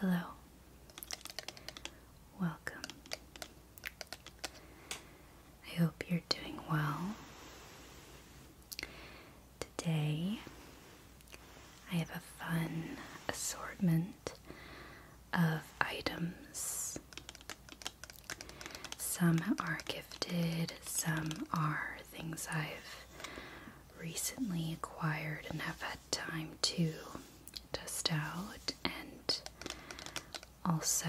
Hello. Welcome. I hope you're doing well. Today, I have a fun assortment of items. Some are gifted, some are things I've recently acquired and have had time to test out, and also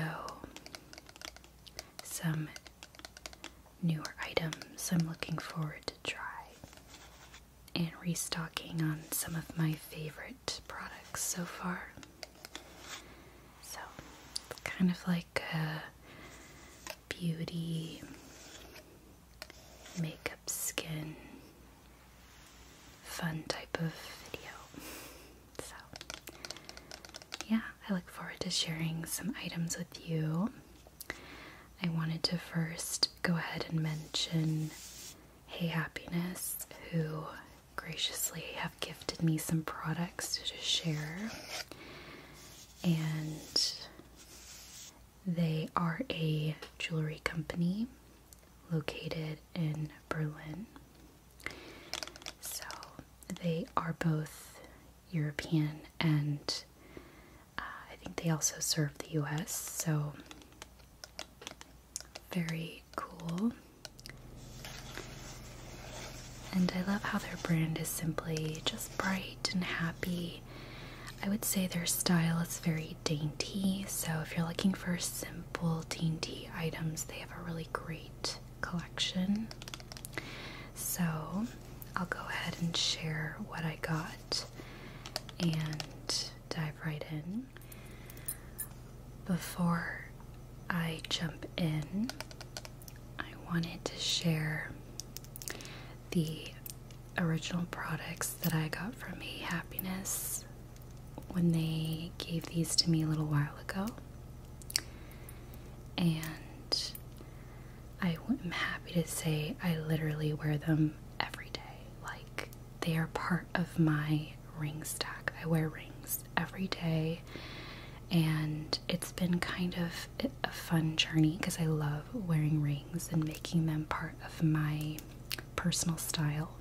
some newer items I'm looking forward to try. And restocking on some of my favorite products so far. So, kind of like beauty, makeup, skin, fun type of video. So, yeah, I look forward to sharing some items with you. I wanted to first go ahead and mention Hey Happiness, who graciously have gifted me some products to share and they are a jewelry company located in Berlin. So they are both European and uh, I think they also serve the US. So very cool. And I love how their brand is simply just bright and happy. I would say their style is very dainty, so if you're looking for simple dainty items, they have a really great collection. So I'll go ahead and share what I got and dive right in. Before I jump in, I wanted to share the original products that I got from A Happiness when they gave these to me a little while ago. And I am happy to say I literally wear them every day. Like, they are part of my ring stack. I wear rings every day and it's been kind of a fun journey because I love wearing rings and making them part of my personal style.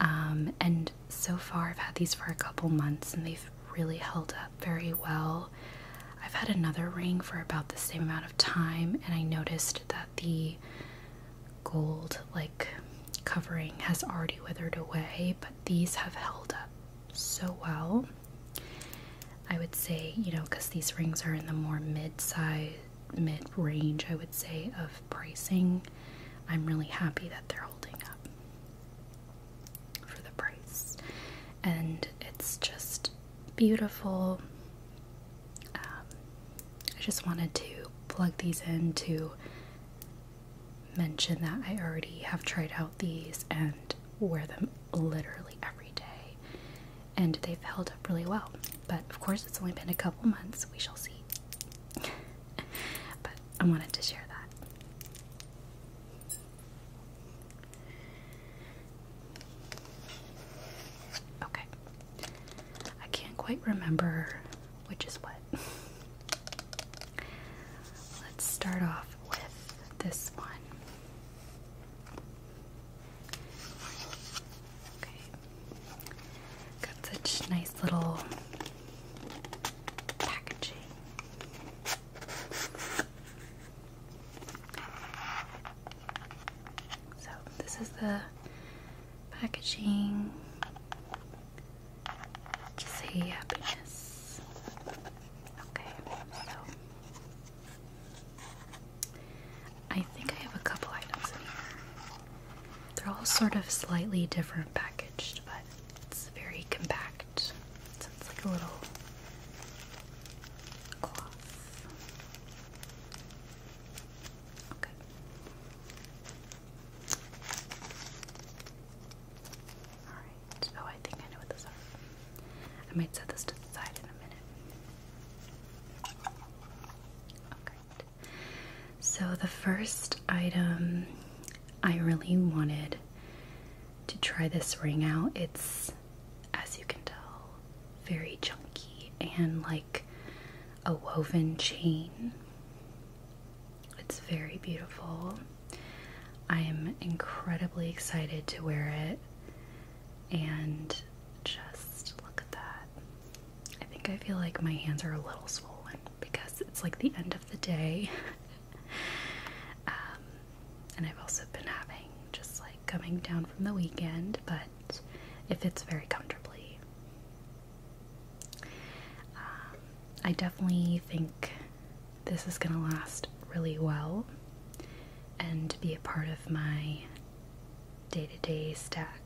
Um, and so far, I've had these for a couple months and they've really held up very well. I've had another ring for about the same amount of time, and I noticed that the gold like covering has already withered away, but these have held up so well. I would say, you know, because these rings are in the more mid size, mid range, I would say, of pricing, I'm really happy that they're holding up for the price. And it's just beautiful. Um, I just wanted to plug these in to mention that I already have tried out these and wear them literally every day, and they've held up really well. But of course, it's only been a couple months, we shall see. but I wanted to share that. Okay, I can't quite remember which is what. Let's start off with this one. Got such nice little packaging. So, this is the packaging say happiness. Okay, so I think I have a couple items in here. They're all sort of slightly different packaged, but it's very compact. it's like a little cloth. Okay. Oh, I think I know what those are. I might set this to the side in a minute. Okay. So the first item I really wanted to try this ring out. It's as you can tell, very chunky and like a woven chain. It's very beautiful. I am incredibly excited to wear it. And just look at that. I think I feel like my hands are a little swollen because it's like the end of the day. Um, and I've also been having just like coming down from the weekend, but it fits very comfortably. Um, I definitely think this is going to last really well and be a part of my day to day stack.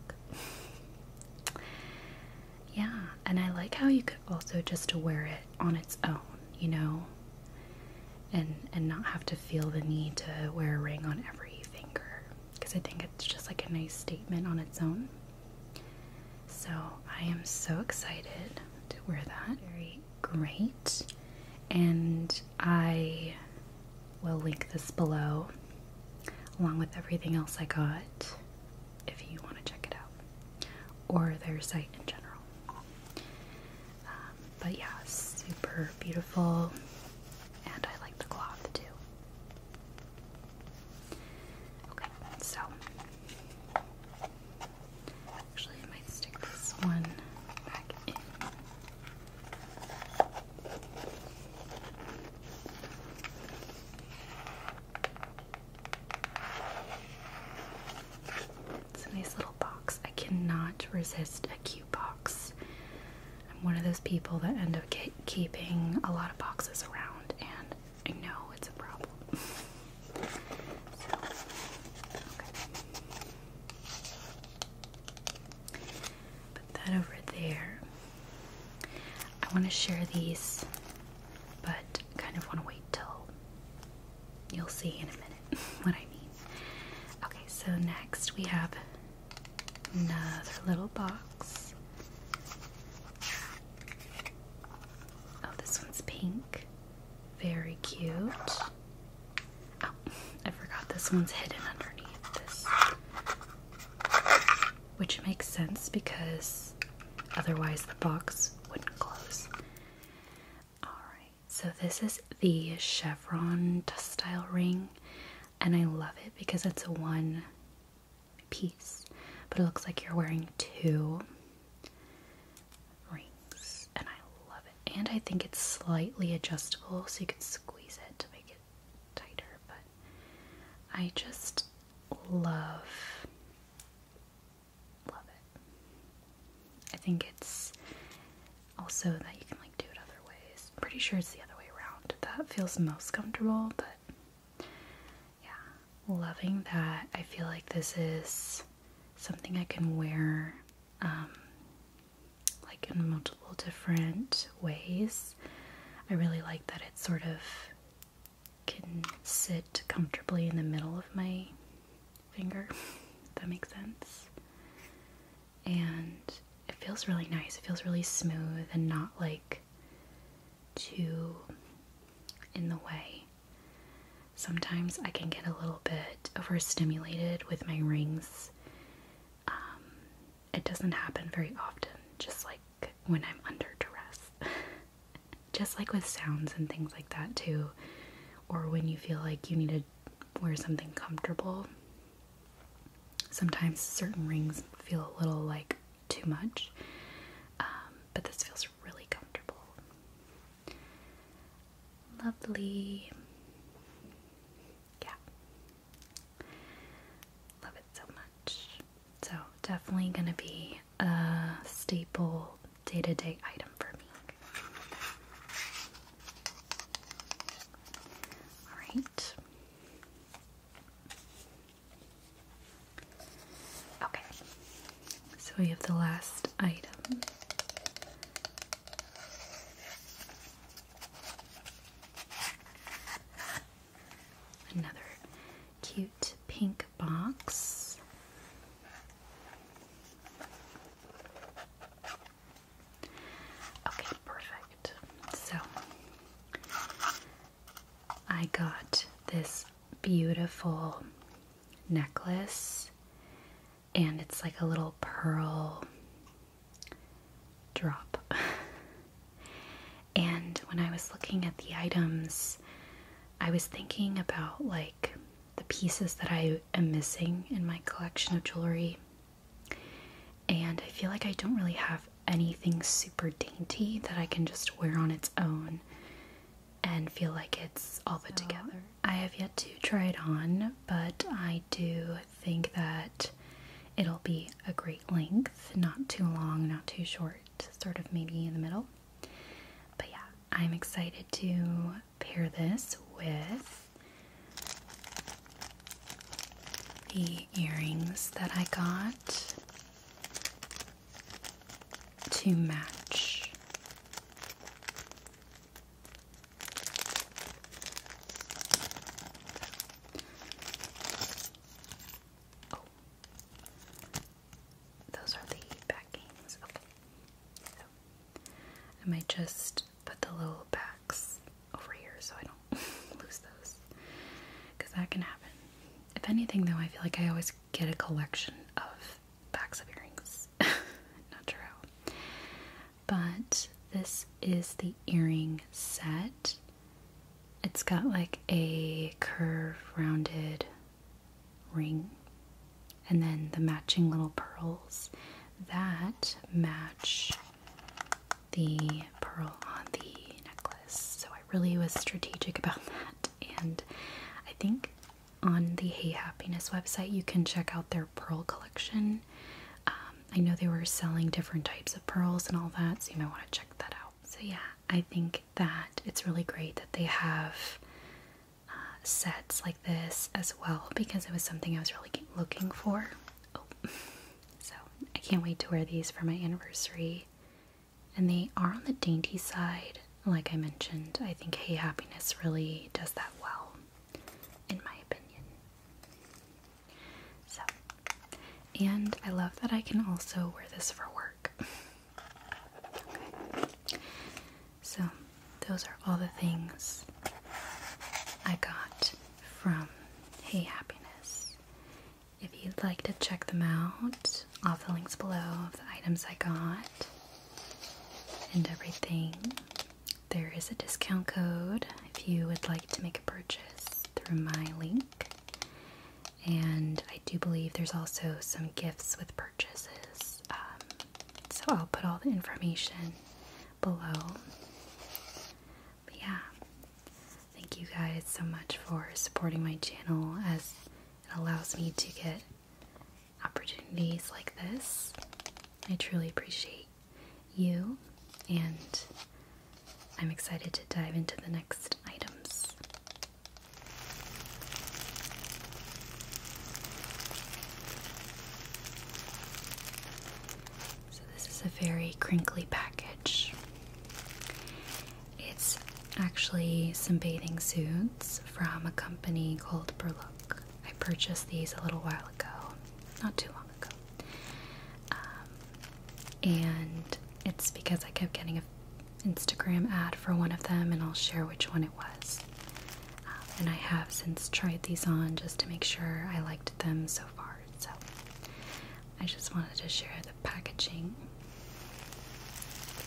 yeah, and I like how you could also just wear it on its own, you know, and, and not have to feel the need to wear a ring on every finger because I think it's just like a nice statement on its own. So I am so excited to wear that. Very great. And I will link this below along with everything else I got if you want to check it out or their site in general. Um, but yeah, super beautiful and I like the cloth too. Okay, so Actually, I might stick this one back in. It's a nice little box. I cannot resist a cute box. I'm one of those people that end up keeping a lot of boxes around, and I know it's a problem. Put that over there. I want to share these, but kind of want to wait till you'll see in a minute what I mean. Okay, so next we have another little box. Oh, this one's pink. Very cute. Oh, I forgot this one's hidden underneath this. Which makes sense because otherwise the box wouldn't close. Alright, so this is the chevron dust style ring, and I love it because it's a one piece, but it looks like you're wearing two rings, and I love it. And I think it's slightly adjustable, so you can squeeze it to make it tighter. But I just love, love it. I think it's also that you can like do it other ways. pretty sure it's the other way around. That feels most comfortable, but yeah, loving that. I feel like this is something I can wear um, like in multiple different ways. I really like that it sort of can sit comfortably in the middle of my finger, that makes sense. And it feels really nice. It feels really smooth and not like too in the way. Sometimes I can get a little bit overstimulated with my rings. Um, it doesn't happen very often, just like when I'm under duress. just like with sounds and things like that, too. Or when you feel like you need to wear something comfortable. Sometimes certain rings feel a little like too much, um, but this feels really comfortable. Lovely. Yeah. Love it so much. So, definitely going to be a staple day to day item for me. Alright. Okay, so we have the last item. Another cute pink box. Okay, perfect. So I got this beautiful necklace, and it's like a little pearl drop. and when I was looking at the items, I was thinking about like the pieces that I am missing in my collection of jewelry. And I feel like I don't really have anything super dainty that I can just wear on its own and feel like it's all put uh-huh. together. I have yet to try it on, but I do think that it'll be a great length, not too long, not too short, sort of maybe in the middle. But yeah, I'm excited to pair this with the earrings that I got to match. Oh, those are the backings. Okay, I might just put the little backs over here so I don't lose those because that can happen. If anything, though, I feel like I always get a collection of backs of earrings. Not sure But this is the earring set. It's got like a curve rounded ring and then the matching little pearls that match the pearl on the necklace. So I really was strategic about that and I think on the Hey Happiness website, you can check out their pearl collection. Um, I know they were selling different types of pearls and all that, so you might want to check that out. So, yeah, I think that it's really great that they have uh, sets like this as well because it was something I was really looking for. Oh. So, I can't wait to wear these for my anniversary and they are on the dainty side. Like I mentioned, I think Hey Happiness really does that well, in my opinion. So, and I love that I can also wear this for work. So, those are all the things I got from Hey Happiness. If you'd like to check them out, I'll have the links below of the items I got and everything. There is a discount code if you would like to make a purchase through my link. And I do believe there's also some gifts with purchases. Um, so I'll put all the information below. But yeah, thank you guys so much for supporting my channel as it allows me to get opportunities like this. I truly appreciate you, and I'm excited to dive into the next items. So, this is a very crinkly package. It's actually some bathing suits from a company called Berlook. I purchased these a little while ago, not too long ago. Um, and it's because I kept getting an Instagram ad for one of them, and I'll share which one it was. Um, and I have since tried these on just to make sure I liked them so far. So I just wanted to share the packaging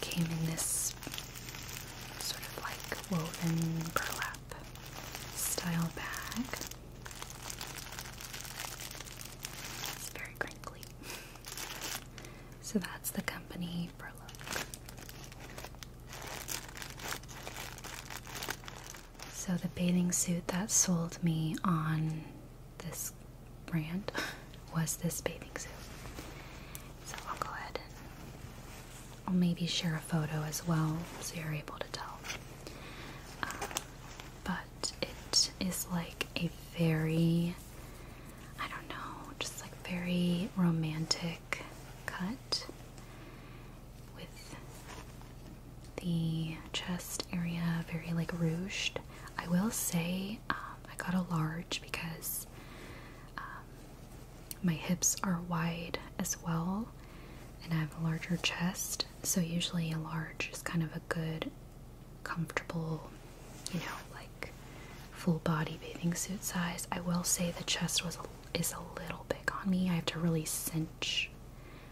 came in this sort of like woven burlap style bag. It's very crinkly. So that's the company burlap. So the bathing suit that sold me on this brand was this bathing suit. So I'll go ahead I'll maybe share a photo as well so you're able to tell. Um, but it is like a very, I don't know, just like very romantic cut with the chest area very like rouged. I will say um, I got a large because um, my hips are wide as well, and I have a larger chest, so usually a large is kind of a good, comfortable, you know, like full body bathing suit size. I will say the chest was a, is a little big on me. I have to really cinch,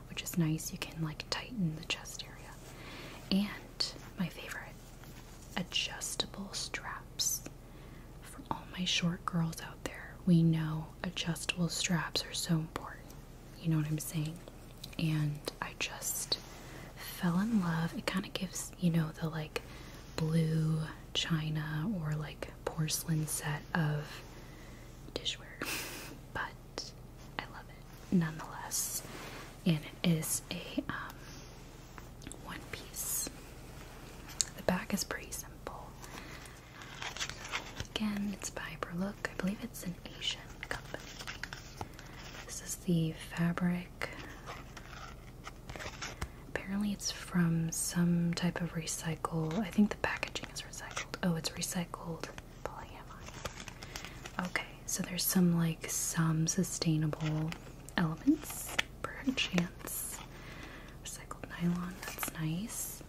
which is nice. You can like tighten the chest area. And my favorite, adjustable straps. For all my short girls out there, we know adjustable straps are so important. You know what I'm saying? And I just fell in love. It kind of gives, you know, the like blue china or like porcelain set of dishware. But I love it nonetheless. And it is a um, one piece. The back is pretty simple. Again, it's by Berlook. I believe it's an Asian company. This is the fabric. Apparently, it's from some type of recycle. I think the packaging is recycled. Oh, it's recycled polyamide. Okay, so there's some like some sustainable elements perchance recycled nylon that's nice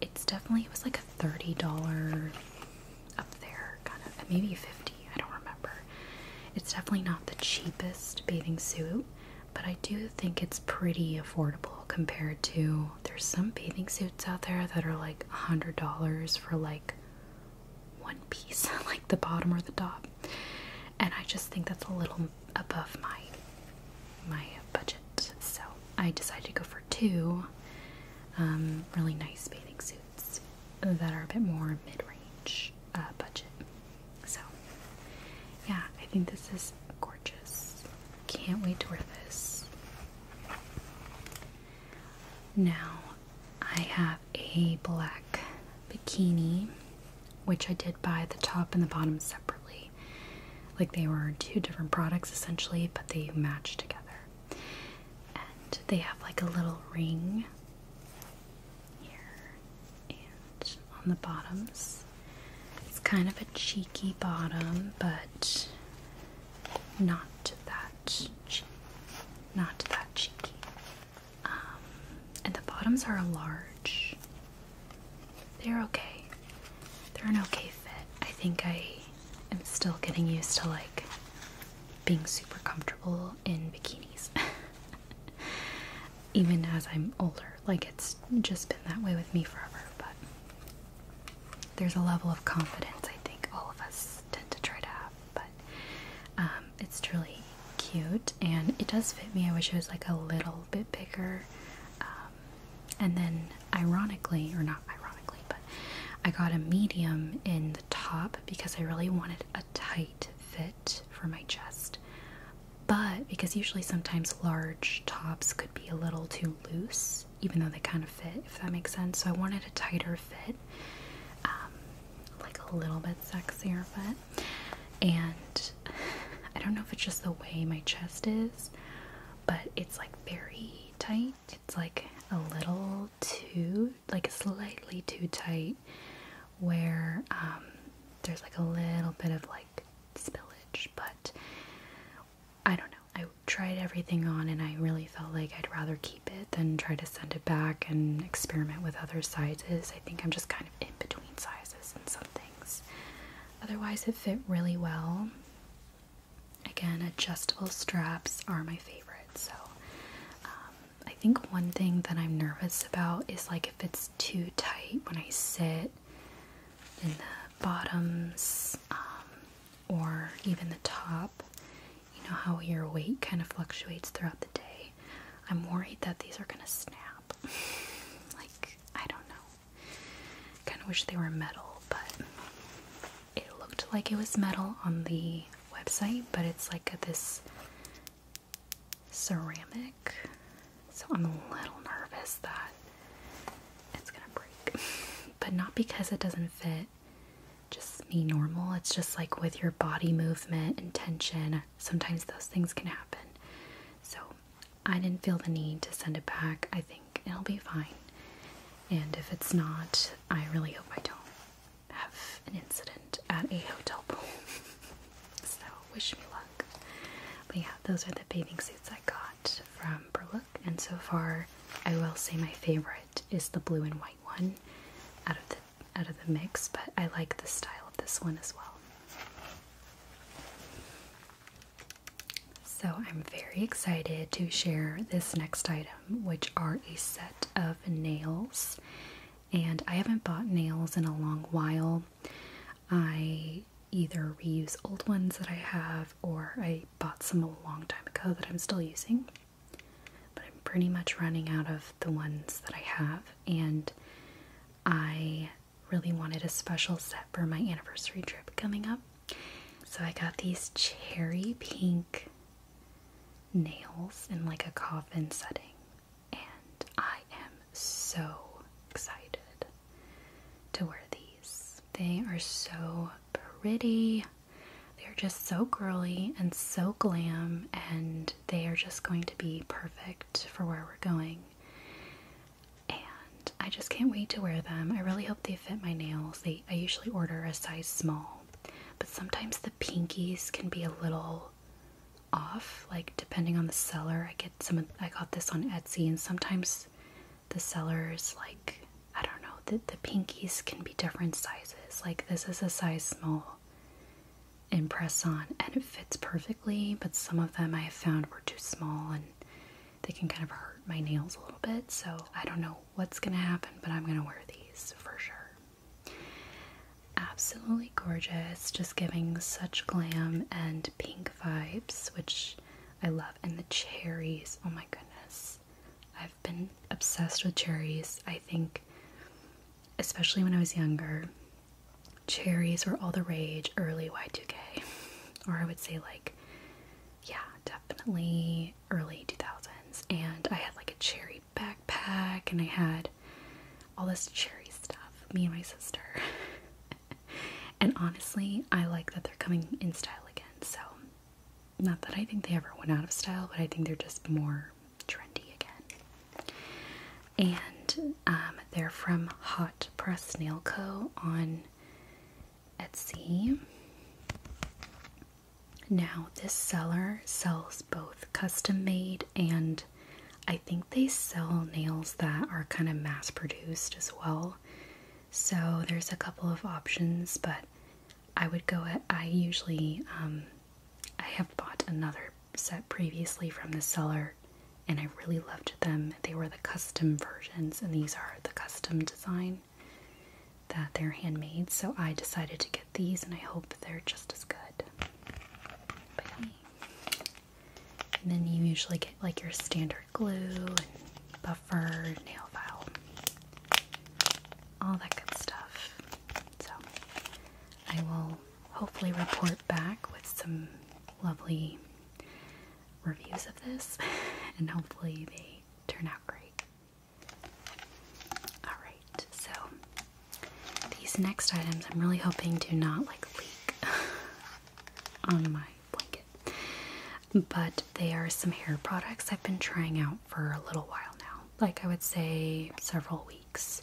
it's definitely it was like a $30 up there kind of maybe 50 I don't remember it's definitely not the cheapest bathing suit but I do think it's pretty affordable compared to there's some bathing suits out there that are like $100 for like one piece, like the bottom or the top. And I just think that's a little above my my budget, so I decided to go for two um, really nice bathing suits that are a bit more mid-range uh, budget. So, yeah, I think this is gorgeous. Can't wait to wear this. Now, I have a black bikini, which I did buy the top and the bottom separately. Like they were two different products essentially, but they match together. And they have like a little ring here and on the bottoms. It's kind of a cheeky bottom, but not that cheeky. Not that cheeky. Um, and the bottoms are a large. They're okay. They're an okay fit. I think I am still getting used to like being super comfortable in bikinis. Even as I'm older. Like it's just been that way with me forever, but there's a level of confidence I think all of us tend to try to have but um, it's truly cute and it does fit me. I wish it was like a little bit bigger. Um, and then, ironically, or not ironically, but I got a medium in the top because I really wanted a tight fit for my chest. But because usually sometimes large tops could be a little too loose, even though they kind of fit, if that makes sense. So I wanted a tighter fit. Um, like a little bit sexier but and I don't know if it's just the way my chest is but it's like very tight it's like a little too like slightly too tight where um there's like a little bit of like spillage but I don't know I tried everything on and I really felt like I'd rather keep it, then try to send it back and experiment with other sizes. I think I'm just kind of in between sizes and some things. Otherwise, it fit really well. Again, adjustable straps are my favorite. So, um, I think one thing that I'm nervous about is like if it's too tight when I sit in the bottoms um, or even the top you know how your weight kind of fluctuates throughout the day. I'm worried that these are gonna snap. like, I don't know. Kind of wish they were metal, but it looked like it was metal on the website, but it's like this ceramic. So I'm a little nervous that it's gonna break. but not because it doesn't fit just me normal. It's just like with your body movement and tension, sometimes those things can happen. So I didn't feel the need to send it back. I think it'll be fine. And if it's not, I really hope I don't have an incident at a hotel pool. so wish me luck. But yeah, those are the bathing suits I got from Berlook. And so far, I will say my favorite is the blue and white one out of the out of the mix, but I like the style of this one as well. So I'm very excited to share this next item, which are a set of nails. And I haven't bought nails in a long while. I either reuse old ones that I have or I bought some a long time ago that I'm still using. But I'm pretty much running out of the ones that I have, and I really wanted a special set for my anniversary trip coming up. So I got these cherry pink nails in like a coffin setting, and I am so excited to wear these. They are so pretty. They're just so girly and so glam, and they are just going to be perfect for where we're going. And I just can't wait to wear them. I really hope they fit my nails. I usually order a size small, but sometimes the pinkies can be a little off like depending on the seller i get some of, i got this on etsy and sometimes the sellers like i don't know the pinkies can be different sizes like this is a size small and press on and it fits perfectly but some of them I have found were too small and they can kind of hurt my nails a little bit so I don't know what's gonna happen but I'm gonna wear these for sure absolutely gorgeous just giving such glam and pink vibes which I love and the cherries oh my goodness I been obsessed with cherries. I think, especially when I was younger, cherries were all the rage early Y2K. Or I would say, like, yeah, definitely early 2000s. And I had like a cherry backpack and I had all this cherry stuff, me and my sister. and honestly, I like that they're coming in style again. So, not that I think they ever went out of style, but I think they're just more trendy again. And um, they're from Hot Press Nail Co. on Etsy. Now, this seller sells both custom made and I think they sell nails that are kind of mass produced as well. So there's a couple of options, but I would go at, I usually um, I have bought another set previously from the seller and I really loved them. They were the custom versions, and these are the custom design that they're handmade. So I decided to get these, and I hope they're just as good. And then you usually get like your standard glue buffer, nail file, all that good stuff. So I will hopefully report back with some lovely reviews of this, and hopefully they turn out great. Alright, so these next items I'm really hoping do not like leak on my blanket, but they are some hair products I've been trying out for a little while now, like I would say several weeks.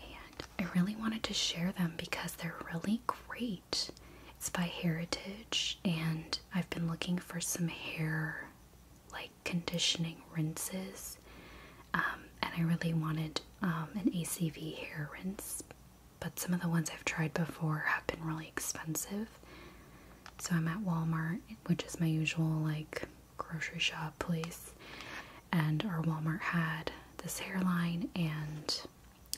And I really wanted to share them because they're really great. It's by Heritage, and I've been looking for some hair like conditioning rinses. Um, and I really wanted um, an ACV hair rinse, but some of the ones I've tried before have been really expensive. So I'm at Walmart, which is my usual like grocery shop place, and our Walmart had this hairline, and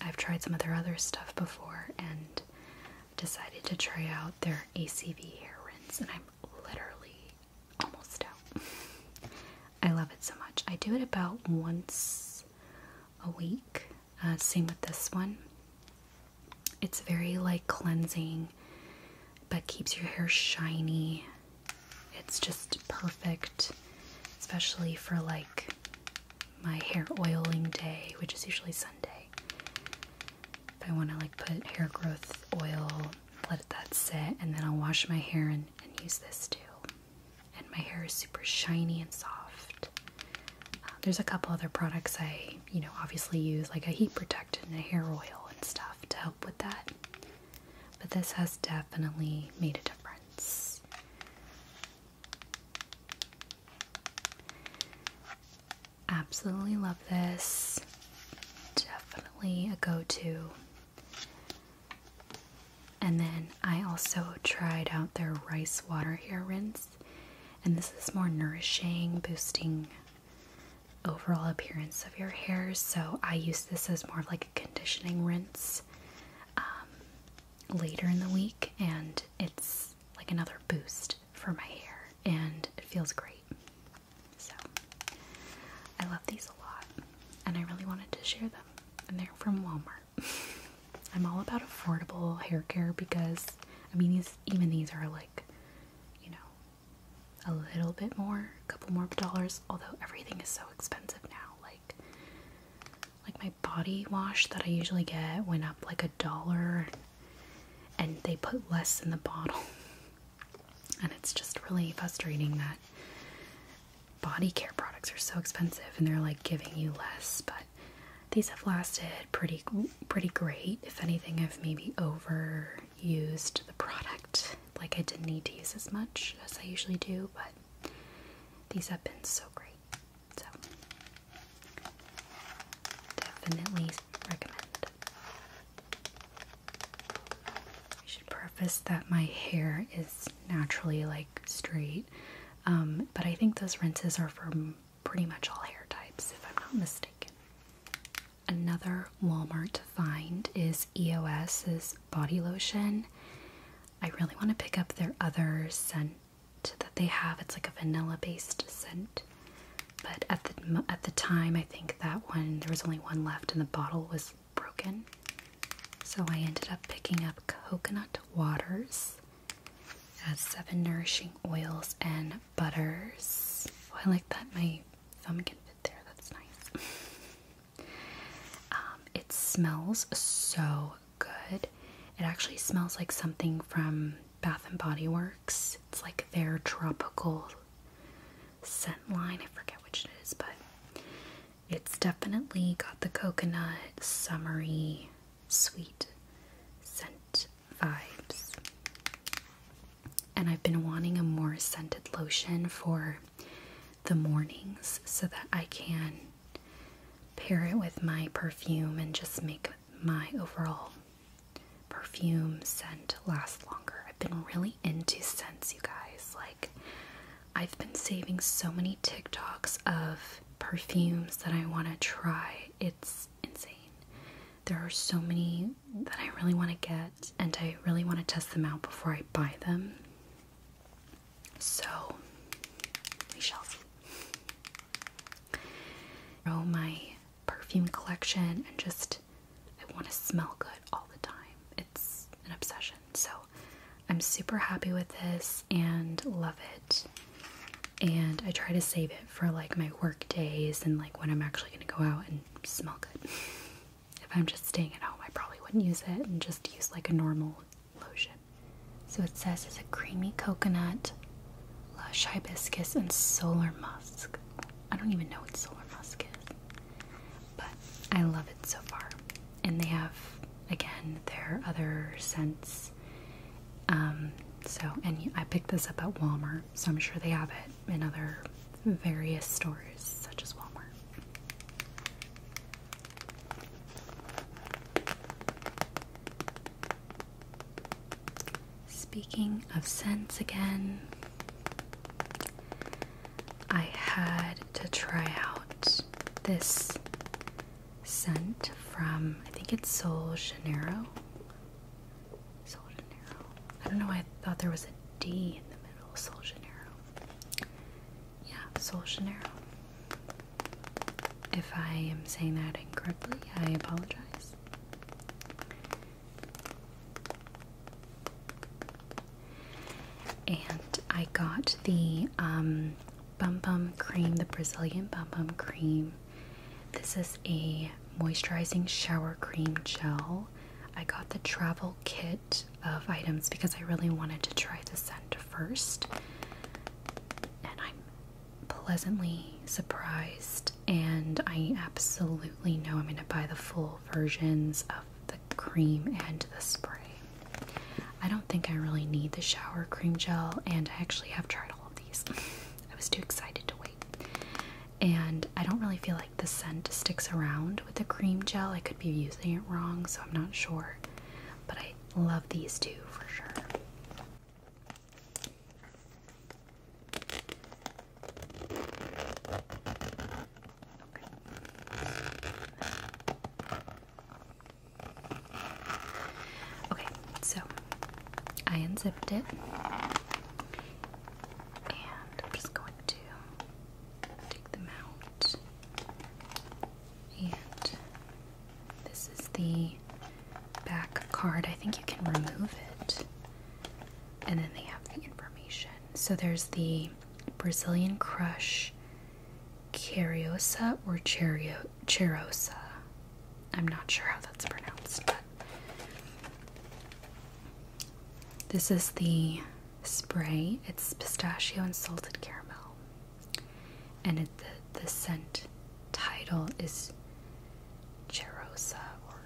I've tried some of their other stuff before, and decided to try out their ACV hair rinse, and I'm literally almost out. I love it so much. I do it about once a week. Uh, same with this one. It's very like cleansing but keeps your hair shiny. It's just perfect, especially for like my hair oiling day, which is usually Sunday. But I want to like put hair growth oil, let that sit, and then I'll wash my hair and, use this too. And my hair is super shiny and soft. Uh, there's a couple other products I, you know, obviously use, like a heat protectant and a hair oil and stuff to help with that. But this has definitely made a difference. Absolutely love this. Definitely a go to. And then I also tried out their rice water hair rinse, and this is more nourishing, boosting overall appearance of your hair. So I use this as more like a conditioning rinse um, later in the week, and it's like another boost for my hair, and it feels great. So I love these a lot, and I really wanted to share them. And they're from Walmart. I'm all about affordable hair care because I mean, these even these are like, you know, a little bit more, a couple more dollars, although everything is so expensive now. Like like my body wash that I usually get went up like a dollar and they put less in the bottle. And it's just really frustrating that body care products are so expensive and they're like giving you less, but these have lasted pretty pretty great. If anything, I've maybe over used the product. Like, I didn't need to use as much as I usually do, but these have been so great. So, definitely recommend. I should preface that my hair is naturally like straight, um, but I think those rinses are for pretty much all hair types, if I'm not mistaken. Another Walmart find is EOS's body lotion. I really want to pick up their other scent that they have. It's like a vanilla-based scent, but at the at the time, I think that one there was only one left, and the bottle was broken. So I ended up picking up coconut waters, as seven nourishing oils and butters. Oh, I like that my some can fit there, that's nice. Um, it smells so good. It actually smells like something from Bath and Body Works. It's like their tropical scent line. I forget which it is, but it's definitely got the coconut, summery, sweet scent vibes. And I've been wanting a more scented lotion for the mornings so that I can pair it with my perfume and just make my overall perfume scent last longer. I've been really into scents, you guys. Like, I've been saving so many TikToks of perfumes that I want to try. It's insane. There are so many that I really want to get, and I really want to test them out before I buy them. So, we shall see. Grow my perfume collection, and just I want to smell good all the time. It's an obsession. So, I'm super happy with this and love it. And I try to save it for like my work days and like when I'm actually going to go out and smell good. if I'm just staying at home, I probably wouldn't use it and just use like a normal lotion. So it says it's a creamy coconut, lush hibiscus, and solar musk. I don't even know what solar musk is, but I love it so far. And they have, again, their other scents. Um, so, and I picked this up at Walmart, so I'm sure they have it in other various stores such as Walmart. Speaking of scents again, I had to try out this scent from, I think it's Sol Janeiro. Soljanero. I don't know why I thought there was a D in the middle. Soljanero. Yeah, Soljanero. If I am saying that incorrectly, I apologize. And I got the um, Bum Bum Cream, the Brazilian Bum Bum Cream this is a moisturizing shower cream gel. I got the travel kit of items because I really wanted to try the scent first. And I'm pleasantly surprised, and I absolutely know I'm going to buy the full versions of the cream and the spray. I don't think I really need the shower cream gel, and I actually have tried all of these. I was too excited to wait and I don't really feel like the scent sticks around with the cream gel. I could be using it wrong, so I'm not sure, but I love these two for sure. Okay. so I unzipped it and I'm just going to take them out. And this is the back card. I think you can remove it. And then they have the information. So there's the Brazilian Crush Cariosa or Cherio Cherosa. I'm not sure how that's pronounced, but this is the spray. It's pistachio and salted caramel. And the, the scent title is Cherosa, or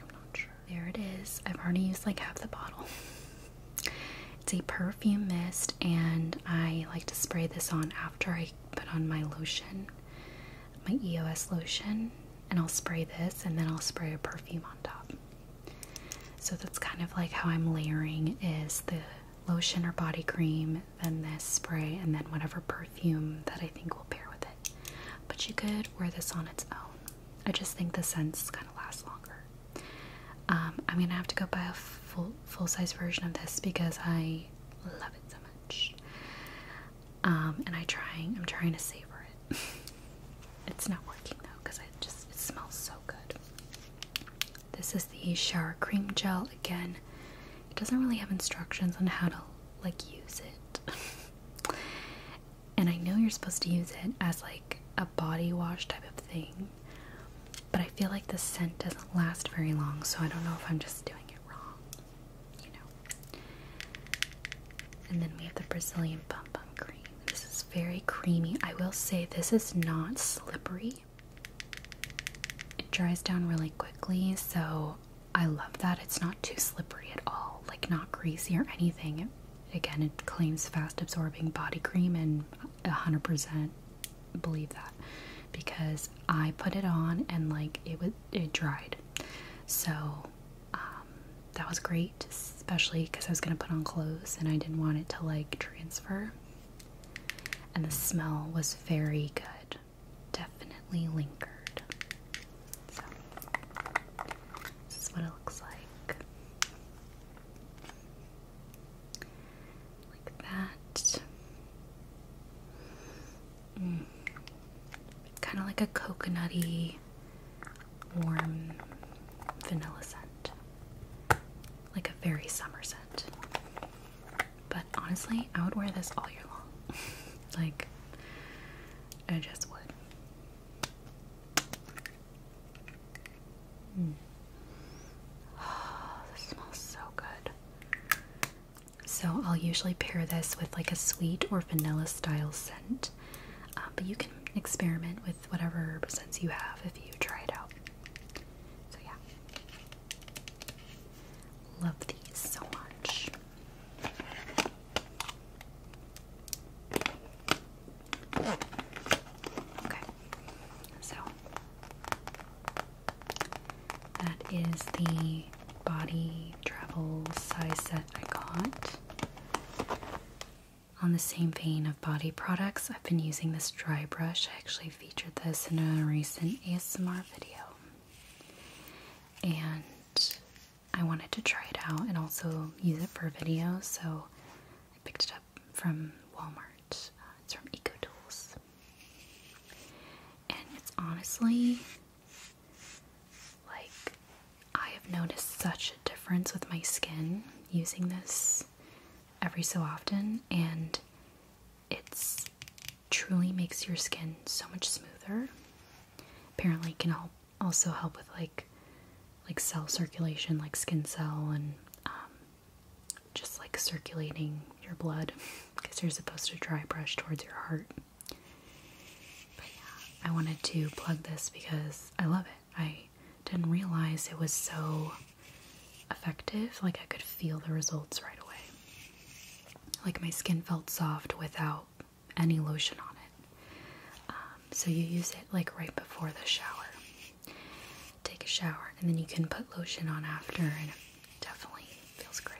I'm not sure. There it is. I've already used like half the bottle. It's a perfume mist, and I like to spray this on after I put on my lotion, my EOS lotion, and I'll spray this and then I'll spray a perfume on top. So that's kind of like how I'm layering is the lotion or body cream, then this spray, and then whatever perfume that I think will pair with it. But you could wear this on its own. I just think the scent scents kind of last longer. Um, I'm gonna have to go buy a full full size version of this because I love it so much um, and I trying I'm trying to savor it. it's not working though because I just it smells so good. This is the shower cream gel again. It doesn't really have instructions on how to like use it. and I know you're supposed to use it as like a body wash type of thing. But I feel like the scent doesn't last very long, so I don't know if I'm just doing it wrong you know. And then we have the Brazilian Bum Bum Cream. This is very creamy. I will say this is not slippery. It dries down really quickly, so I love that. It's not too slippery at all, like not greasy or anything. Again, it claims fast absorbing body cream, and 100% believe that because I put it on and like it was it dried. So um, that was great, especially because I was going to put on clothes and I didn't want it to like transfer. And the smell was very good, definitely lingered. So, this is what it looks like like that. Mm. Kind of like a coconutty, warm vanilla scent. Like a very summer scent. But honestly, I would wear this all year long. like, I just would. Oh, this smells so good. So I'll usually pair this with like a sweet or vanilla style scent. Uh, but you can experiment with whatever scents you have if you try it out. So yeah. Love these so much. Okay. So that is the body travel size set I got. On the same vein of body products, I've been using this dry brush. I actually featured this in a recent ASMR video. And I wanted to try it out and also use it for videos, so I picked it up from Walmart. Uh, it's from EcoTools. And it's honestly like, I have noticed such a difference with my skin using this every so often, and it truly makes your skin so much smoother. Apparently, it can also help with like like cell circulation, like skin cell, and um, just like circulating your blood because you're supposed to dry brush towards your heart. But yeah, I wanted to plug this because I love it. I didn't realize it was so effective. Like I could feel the results right away. Like my skin felt soft without any lotion on it. Um, so you use it like right before the shower. Take a shower and then you can put lotion on after and it definitely feels great.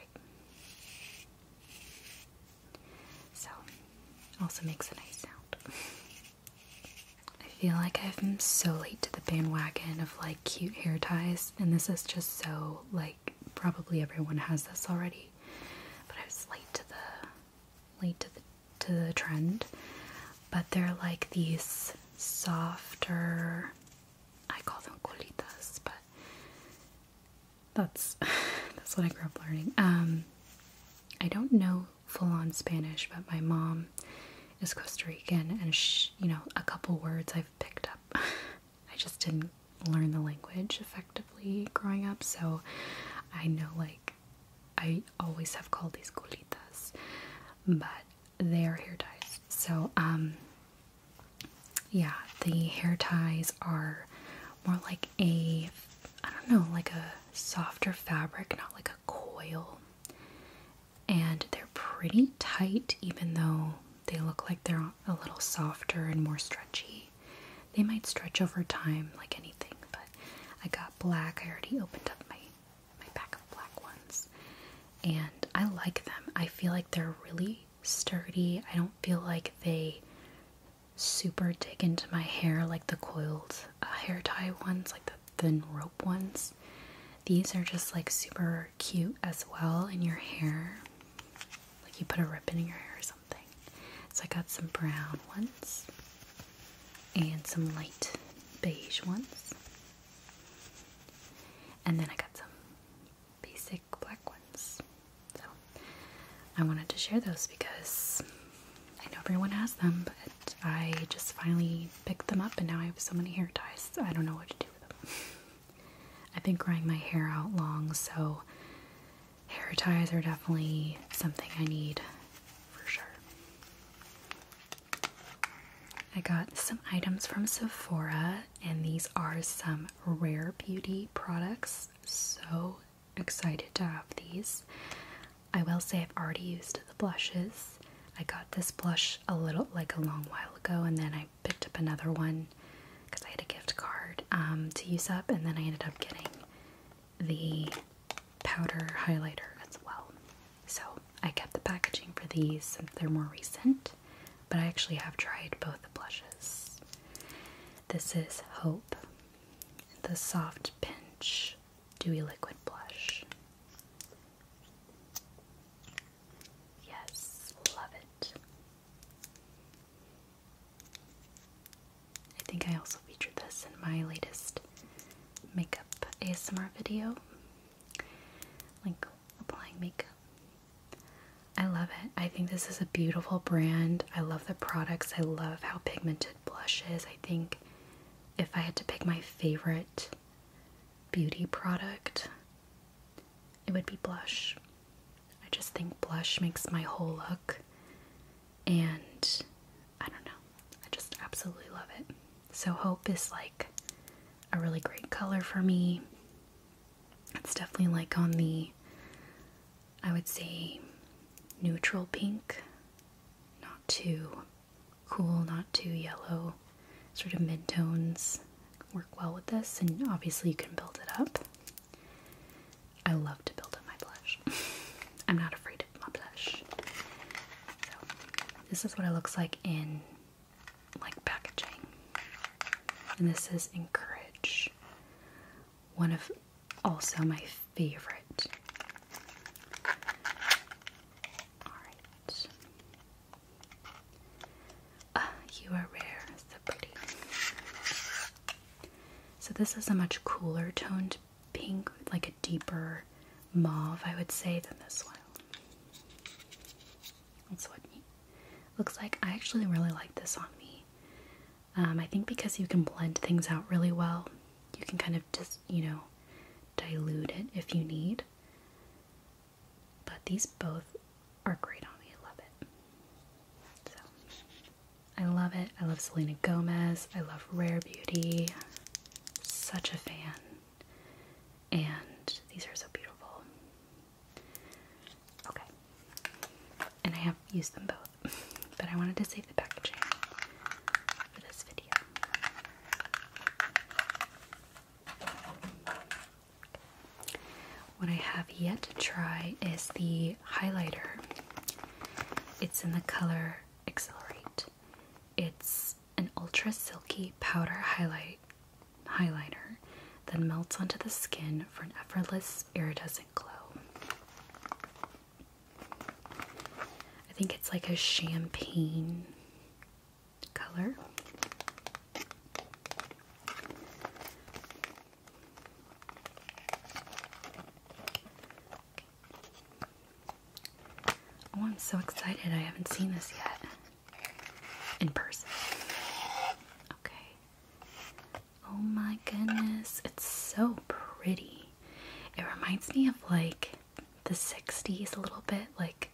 So, also makes a nice sound. I feel like i have been so late to the bandwagon of like cute hair ties, and this is just so like probably everyone has this already, but I was late to the late to the to the trend. But they're like these softer. I call them colitas, but that's that's what I grew up learning. Um, I don't know full on Spanish, but my mom is Costa Rican, and you know, a couple words I've picked up. I just didn't learn the language effectively growing up, so I know like I always have called these golitas, but they are hair ties. So um, yeah, the hair ties are more like a, I don't know, like a softer fabric, not like a coil. And they're pretty tight, even though they look like they're a little softer and more stretchy. They might stretch over time like anything, but I got black. I already opened up my, my pack of black ones. And I like them. I feel like they're really sturdy. I don't feel like they super dig into my hair like the coiled uh, hair tie ones, like the thin rope ones. These are just like super cute as well in your hair. Like you put a ribbon in your hair or something. So I got some brown ones and some light beige ones. And then I got some basic black ones. So I wanted to share those because I know everyone has them, but I just finally picked them up and now I have so many hair ties. I don't know what to do with them. I've been growing my hair out long, so hair ties are definitely something I need for sure. I got some items from Sephora, and these are some Rare Beauty products. So excited to have these. I will say I've already used the blushes. I got this blush a little like a long while ago and then I picked up another one because I had a gift card um, to use up and then I ended up getting the powder highlighter as well. So I kept the packaging for these since they're more recent but I actually have tried both the blushes. This is Hope, the Soft Pinch Dewy Liquid Blush. Yes, love it. I think I also featured this in my latest makeup ASMR video, like applying makeup. I love it. I think this is a beautiful brand. I love the products. I love how pigmented blush is. I think if I had to pick my favorite beauty product, it would be blush. I just think blush makes my whole look and I don't know. I just absolutely love it. So hope is like a really great color for me. It's definitely like on the, I would say, neutral pink. Not too cool, not too yellow. Sort of mid tones work well with this, and obviously you can build it up. I love to build up my blush. I'm not afraid of my blush. this is what it looks like in like packaging. And this is Encourage. One of also my favorite. Alright. Ah, you are rare. So pretty. So this is a much cooler toned pink, like a deeper mauve, I would say, than this one. It's what looks like. I actually really like this on me. Um, I think because you can blend things out really well, you can kind of just, you know, dilute it if you need. But these both are great on me. I love it. So I love it. I love Selena Gomez. I love Rare Beauty. Such a fan. And these are so beautiful. Okay. And I have used them both, but I wanted to save the packaging for this video. What I have yet to try is the highlighter. It's in the color Accelerate. It's an ultra silky powder highlight highlighter, then melts onto the skin for an effortless, iridescent glow. I think it's like a champagne color. Oh, I'm so excited. I haven't seen this yet in person. Okay. Oh my goodness, it's so pretty. It reminds me of like the 60s a little bit, like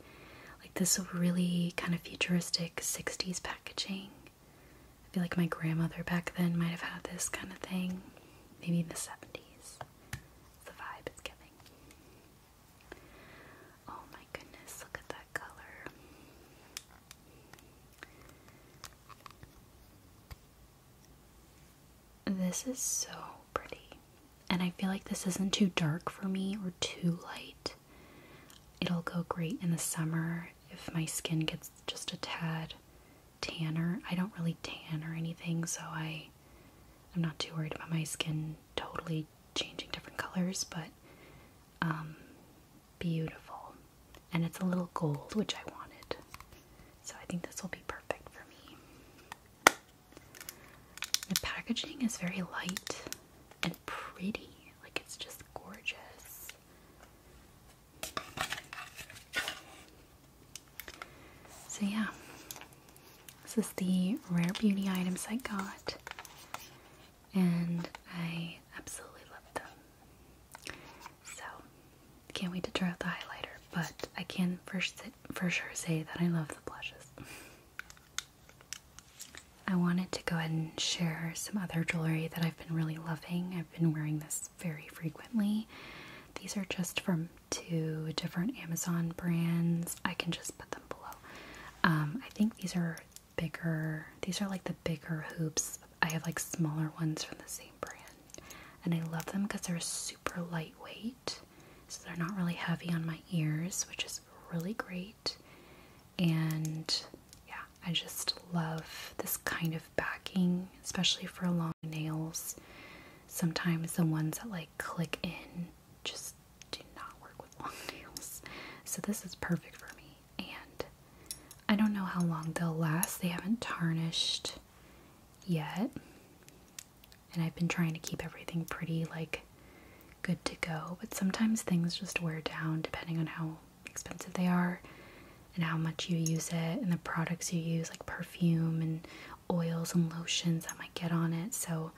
like this really kind of futuristic 60s packaging. I feel like my grandmother back then might have had this kind of thing. Maybe in the 70s. The vibe it's giving. Oh my goodness, look at that color. This is so pretty. And I feel like this isn't too dark for me or too light. It'll go great in the summer if my skin gets just a tad tanner. I don't really tan or anything, so I I'm not too worried about my skin totally changing different colors, but um beautiful. And it's a little gold, which I wanted. So I think this will be perfect for me. The packaging is very light and pretty. Like it's just gorgeous. So yeah. This is the rare beauty items I got and I absolutely love them. So, can't wait to try out the highlighter, but I can first for sure say that I love the blushes. I wanted to go ahead and share some other jewelry that I've been really loving. I've been wearing this very frequently. These are just from two different Amazon brands. I can just put them below. Um, I think these are bigger, these are like the bigger hoops. I have like smaller ones from the same brand. And I love them because they're super lightweight. So they're not really heavy on my ears, which is really great. And yeah, I just love this kind of backing, especially for long nails. Sometimes the ones that like click in just do not work with long nails. So this is perfect for me and I don't know how long they'll last. They haven't tarnished yet. And I've been trying to keep everything pretty like good to go, but sometimes things just wear down depending on how expensive they are and how much you use it and the products you use like perfume and oils and lotions that might get on it. So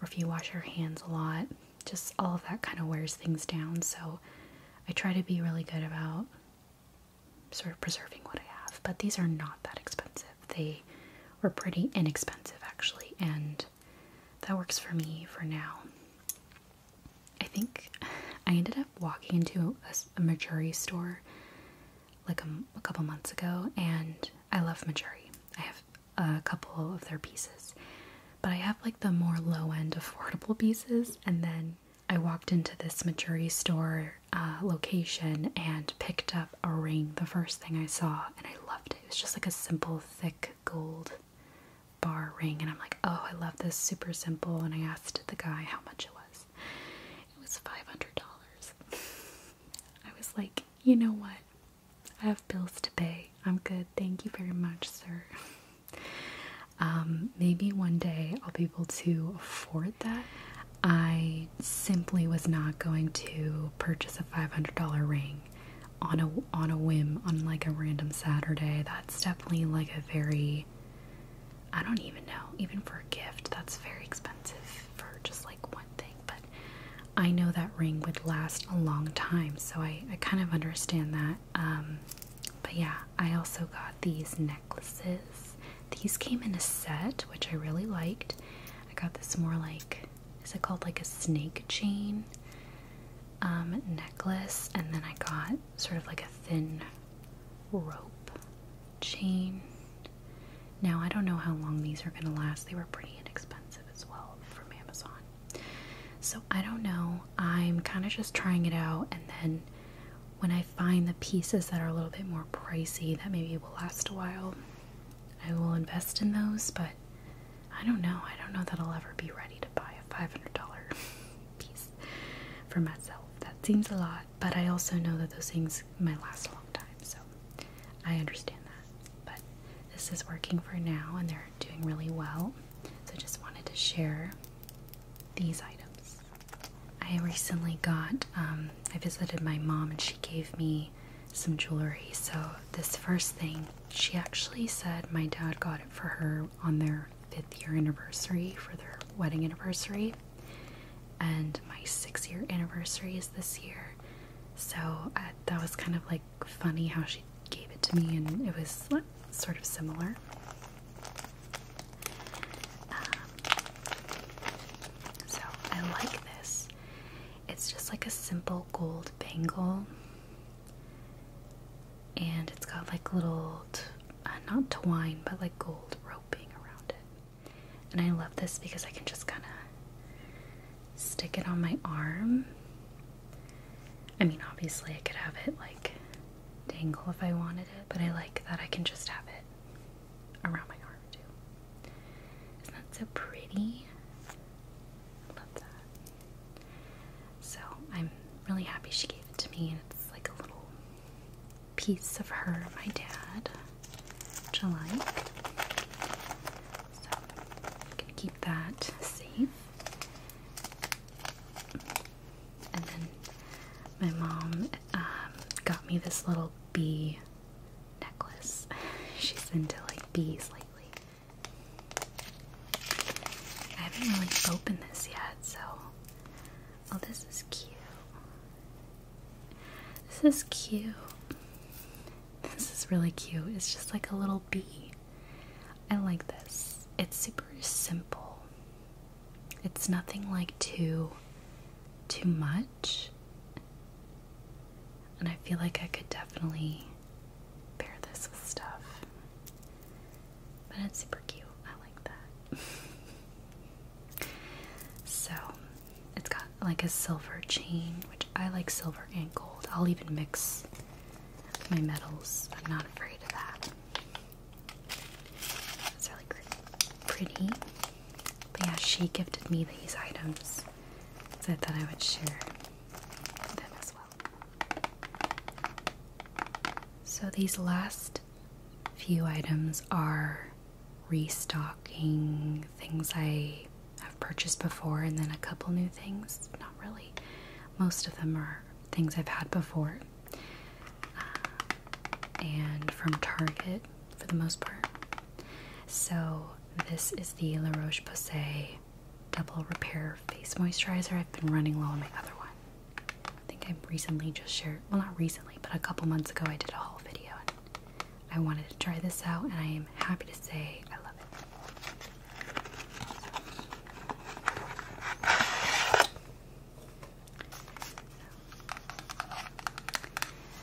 or if you wash your hands a lot, just all of that kind of wears things down. So I try to be really good about sort of preserving what I have. But these are not that expensive. They were pretty inexpensive actually, and that works for me for now. I think I ended up walking into a, a Majuri store like a, um, a couple months ago, and I love Majuri. I have a couple of their pieces. But I have like the more low end affordable pieces, and then I walked into this maturity store uh, location and picked up a ring the first thing I saw, and I loved it. It was just like a simple, thick gold bar ring, and I'm like, oh, I love this, super simple. And I asked the guy how much it was. It was $500. I was like, you know what? I have bills to pay. I'm good. Thank you very much, sir. Um, maybe one day I'll be able to afford that. I simply was not going to purchase a $500 ring on a on a whim on like a random Saturday. That's definitely like a very I don't even know, even for a gift, that's very expensive for just like one thing, but I know that ring would last a long time, so I, I kind of understand that. Um, but yeah, I also got these necklaces. These came in a set, which I really liked. I got this more like, is it called like a snake chain um, necklace? And then I got sort of like a thin rope chain. Now, I don't know how long these are going to last. They were pretty inexpensive as well from Amazon. So I don't know. I'm kind of just trying it out, and then when I find the pieces that are a little bit more pricey, that maybe will last a while, I will invest in those. But I don't know. I don't know that I'll ever be ready to buy a $500 piece for myself. That seems a lot, but I also know that those things might last a long time, so I understand that. But this is working for now, and they're doing really well. So just wanted to share these items. I recently got, um, I visited my mom and she gave me some jewelry. So this first thing, she actually said my dad got it for her on their fifth year anniversary, for their wedding anniversary. And my six year anniversary is this year. So uh, that was kind of like funny how she gave it to me, and it was sort of similar. Um, so I like this. It's just like a simple gold bangle, and it's got like little, uh, not twine, but like gold roping around it. And I love this because I can just kind of stick it on my arm I mean, obviously, I could have it like dangle if I wanted it, but I like that I can just have it around my arm too. Isn't that so pretty? love that. So, I'm really happy she gave it to me, and it's like a little piece of her, my dad, which I like. So, I can keep that safe. And then my mom um, got me this little bee necklace. She's into like bees lately. I haven't really opened this yet, so. Oh, this is cute. This is cute. This is really cute. It's just like a little bee. I like this. It's super simple. It's nothing like too too much. And I feel like I could definitely pair this with stuff. But it's super cute. I like that. so, it's got like a silver chain, which I like silver and gold. I'll even mix my medals. I'm not afraid of that. It's really pretty. But yeah, she gifted me these items, so I thought I would share them as well. So these last few items are restocking things I have purchased before, and then a couple new things really. Most of them are things I've had before. Uh, and from Target for the most part. So, this is the La Roche Posay Double Repair Face Moisturizer. I've been running low on my other one. I think I recently just shared, well, not recently, but a couple months ago, I did a haul video. And I wanted to try this out, and I am happy to say I love it.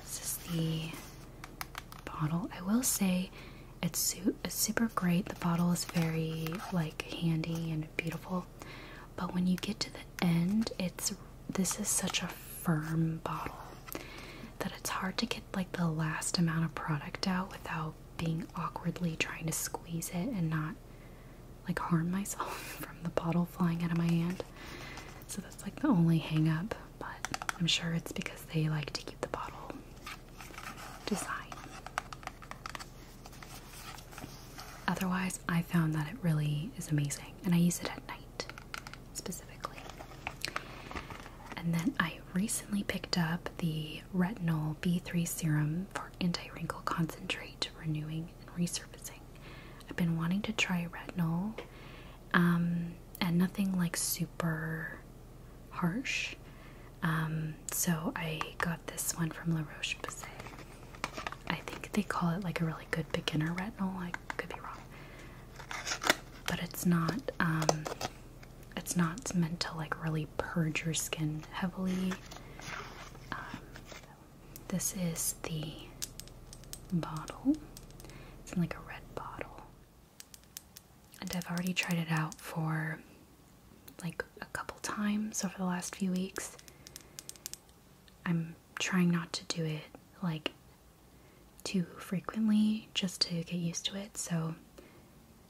This is the bottle. I will say it's, it's super great. The bottle is very like handy and beautiful. But when you get to the end, it's this is such a firm bottle that it's hard to get like the last amount of product out without being awkwardly trying to squeeze it and not like harm myself from the bottle flying out of my hand. So that's like the only hang up, but I'm sure it's because they like to keep the bottle designed. Otherwise, I found that it really is amazing and I use it at night specifically. And then I recently picked up the retinol B3 serum for anti wrinkle concentrate, renewing, and resurfacing. I've been wanting to try retinol, um, and nothing like super harsh. Um, so I got this one from La Roche Posay. I think they call it like a really good beginner retinol. I could be wrong, but it's not. Um, it's not meant to like really purge your skin heavily. Um, this is the bottle. It's like a red bottle. And I've already tried it out for like a couple times over the last few weeks. I'm trying not to do it like too frequently just to get used to it. So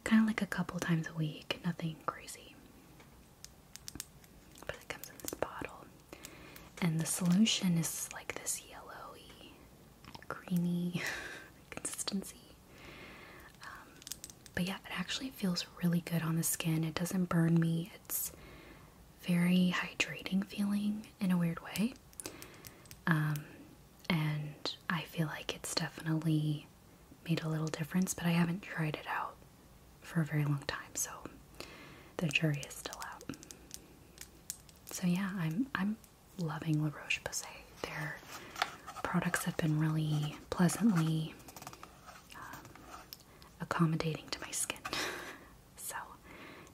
kind of like a couple times a week, nothing crazy. But it comes in this bottle, and the solution is like this yellowy, creamy consistency. Um, but yeah, it actually feels really good on the skin. It doesn't burn me. It's very hydrating feeling in a weird way. Um, and I feel like it's definitely made a little difference, but I haven't tried it out for a very long time, so the jury is still out. So yeah, I'm I'm loving La Roche Posay. Their products have been really pleasantly um, accommodating to my skin. so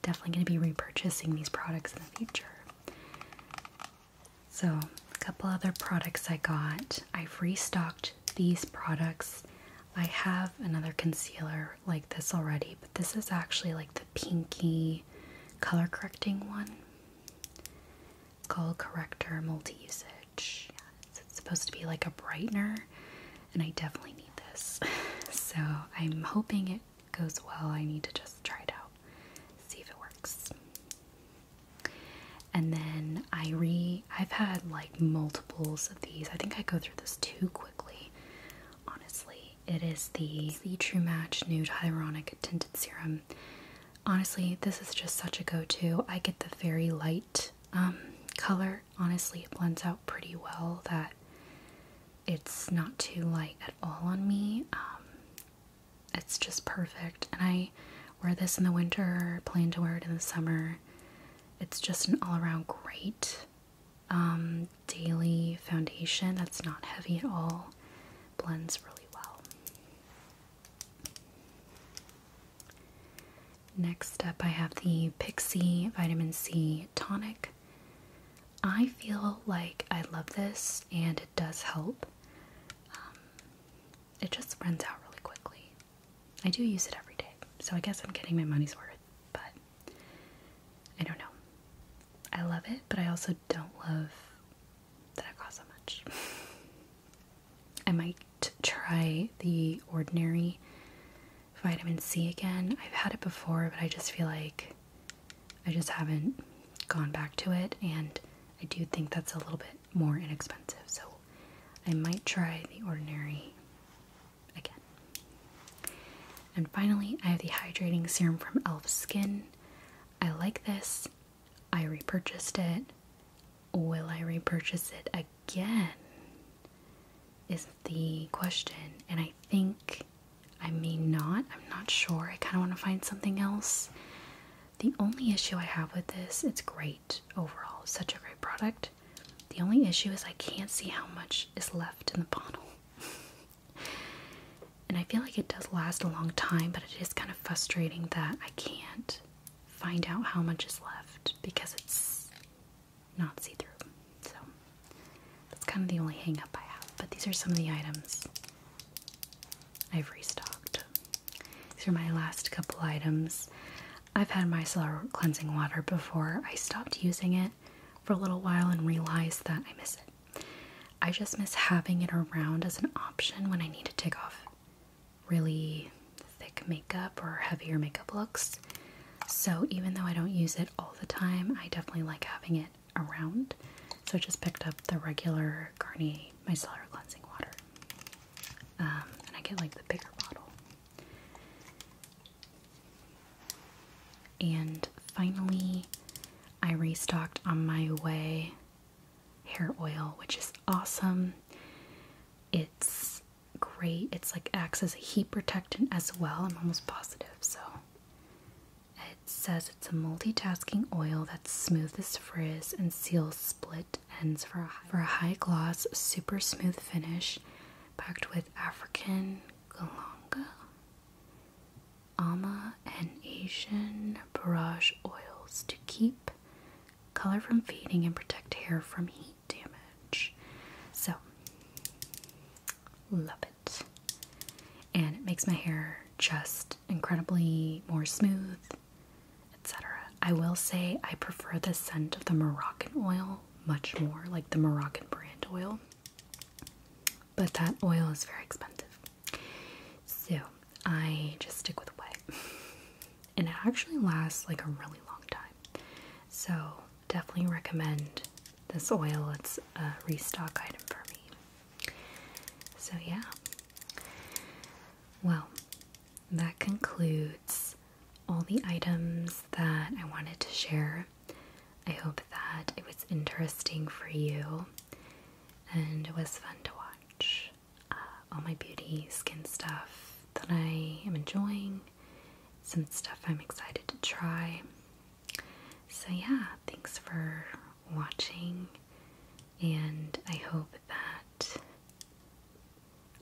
definitely going to be repurchasing these products in the future. So, a couple other products I got. I've restocked these products. I have another concealer like this already, but this is actually like the pinky color correcting one. called Corrector Multi Usage. it's supposed to be like a brightener, and I definitely need this. so, I'm hoping it goes well. I need to just try it out, see if it works. And then I re I've had like multiples of these. I think I go through this too quickly. Honestly, it is the the True Match Nude Hyaluronic Tinted Serum. Honestly, this is just such a go-to. I get the very light um color. Honestly, it blends out pretty well that it's not too light at all on me. Um it's just perfect. And I wear this in the winter, plan to wear it in the summer. It's just an all around great um, daily foundation that's not heavy at all, blends really well. Next up, I have the Pixie Vitamin C Tonic. I feel like I love this and it does help. Um, it just runs out really quickly. I do use it every day, so I guess I'm getting my money's worth, but I don't know. I love it, but I also don't love that it costs so much. I might try the Ordinary vitamin C again. I've had it before, but I just feel like I just haven't gone back to it, and I do think that's a little bit more inexpensive. So I might try the ordinary again. And finally, I have the hydrating serum from e.l.f. Skin. I like this. I repurchased it. Will I repurchase it again? Is the question. And I think I may not. I'm not sure. I kind of want to find something else. The only issue I have with this, it's great overall, such a great product. The only issue is I can't see how much is left in the bottle. and I feel like it does last a long time, but it is kind of frustrating that I can't find out how much is left because it's not see through. So that's kind of the only hang up I have. But these are some of the items I've restocked. These are my last couple items. I've had my micellar cleansing water before. I stopped using it for a little while and realized that I miss it. I just miss having it around as an option when I need to take off really thick makeup or heavier makeup looks. So even though I don't use it all the time, I definitely like having it around. So I just picked up the regular Garnier my solar cleansing water. Um, and I get like the bigger bottle. And finally, I restocked on my way hair oil, which is awesome. It's great. It's like acts as a heat protectant as well. I'm almost positive, so it says it's a multitasking oil that smooths frizz and seals split ends for a, high, for a high gloss, super smooth finish, packed with African galanga, ama, and Asian barrage oils to keep color from fading and protect hair from heat damage. So, love it. And it makes my hair just incredibly more smooth, etc. I will say I prefer the scent of the Moroccan oil much more, like the Moroccan brand oil, but that oil is very expensive. So I just stick with wet. and it actually lasts like a really long time. So definitely recommend this oil. It's a restock item for me. So, yeah. Well, that concludes all the items that I wanted to share. I hope that it was interesting for you and it was fun to watch uh, all my beauty skin stuff that I am enjoying, some stuff I'm excited to try. So, yeah, thanks for watching and I hope that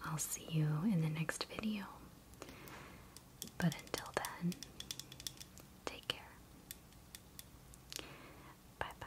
I'll see you in the next video. But until then, take care. Bye bye.